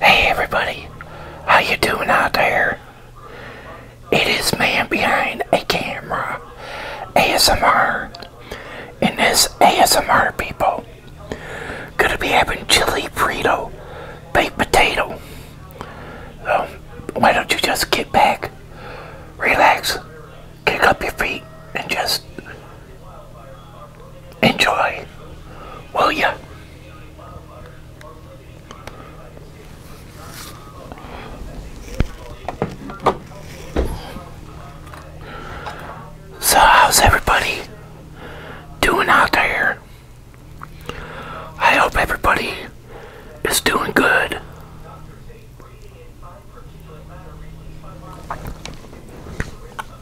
Hey everybody, how you doing out there? It is man behind a camera, ASMR, and this ASMR people gonna be having chili frito baked potato. Um, why don't you just get back, relax, kick up your feet, and just Enjoy, will ya? So how's everybody doing out there? I hope everybody is doing good.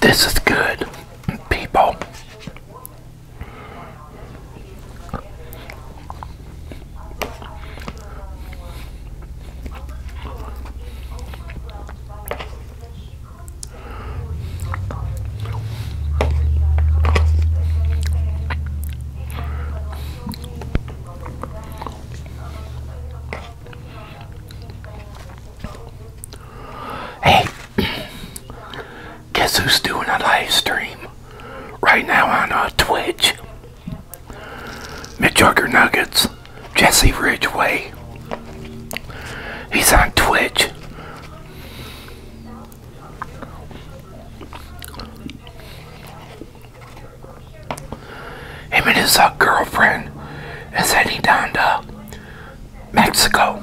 This is good, people. Hey, guess who's doing a live stream right now on uh, Twitch? Midjugger Nuggets, Jesse Ridgeway. He's on Twitch. Him and his uh, girlfriend is heading down to Mexico.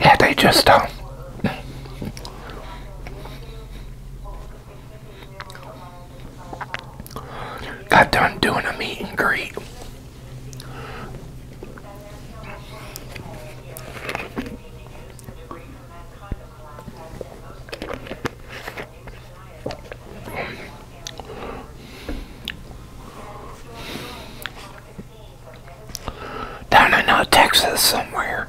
Yeah, they just don't. Uh, got done doing a meet and greet. Down in uh, Texas somewhere.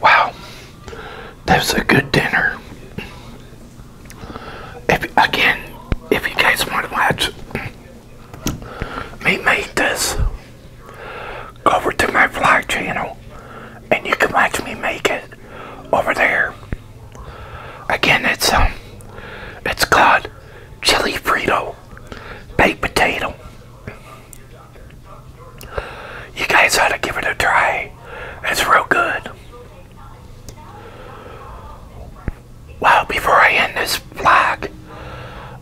Wow, that was a good dinner. If, again, if you guys want to watch me make this, go over to my vlog channel and you can watch me make it over there. Again, it's um, it's called chili frito. Baked potato. You guys ought to give it a try. It's real good. Well, before I end this vlog,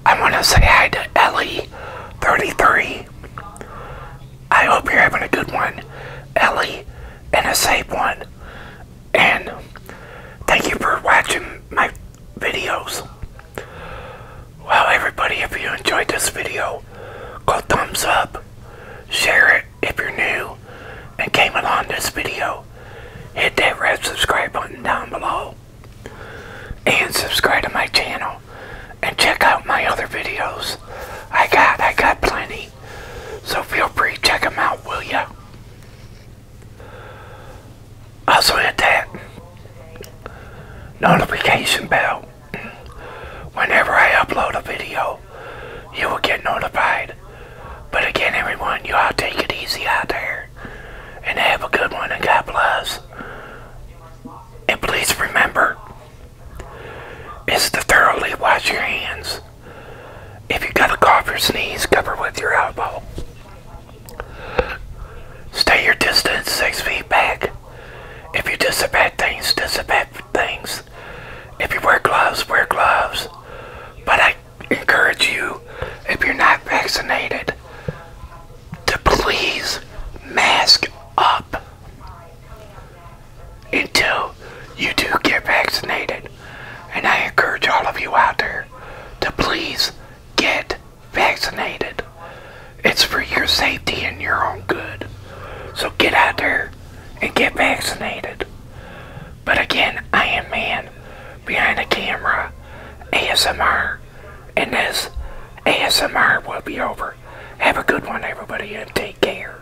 I want to say hi to Ellie33. I hope you're having a good one, Ellie, and a safe one. And thank you for watching my videos. Well, everybody, if you enjoyed this video, go thumbs up, share it if you're new and came along this video. Hit that red subscribe button down below and subscribe to my channel and check out my other videos. I got, I got plenty. So feel free, check them out, will ya? Also hit that notification bell. Whenever I upload a video, you will get notified. But again, everyone, you all take it easy out there. And have a good one, and God bless. And please remember, is to thoroughly wash your hands. If you got a cough or sneeze, cover with your elbow. Stay your distance six feet back. If you disinfect things, disinfect things. If you wear gloves, wear gloves. But I encourage you, if you're not vaccinated, to please mask up until you do get vaccinated. And I encourage all of you out there to please get vaccinated. It's for your safety and your own good. So get out there and get vaccinated. But again, I am man behind the camera, ASMR, and this ASMR will be over. Have a good one, everybody, and take care.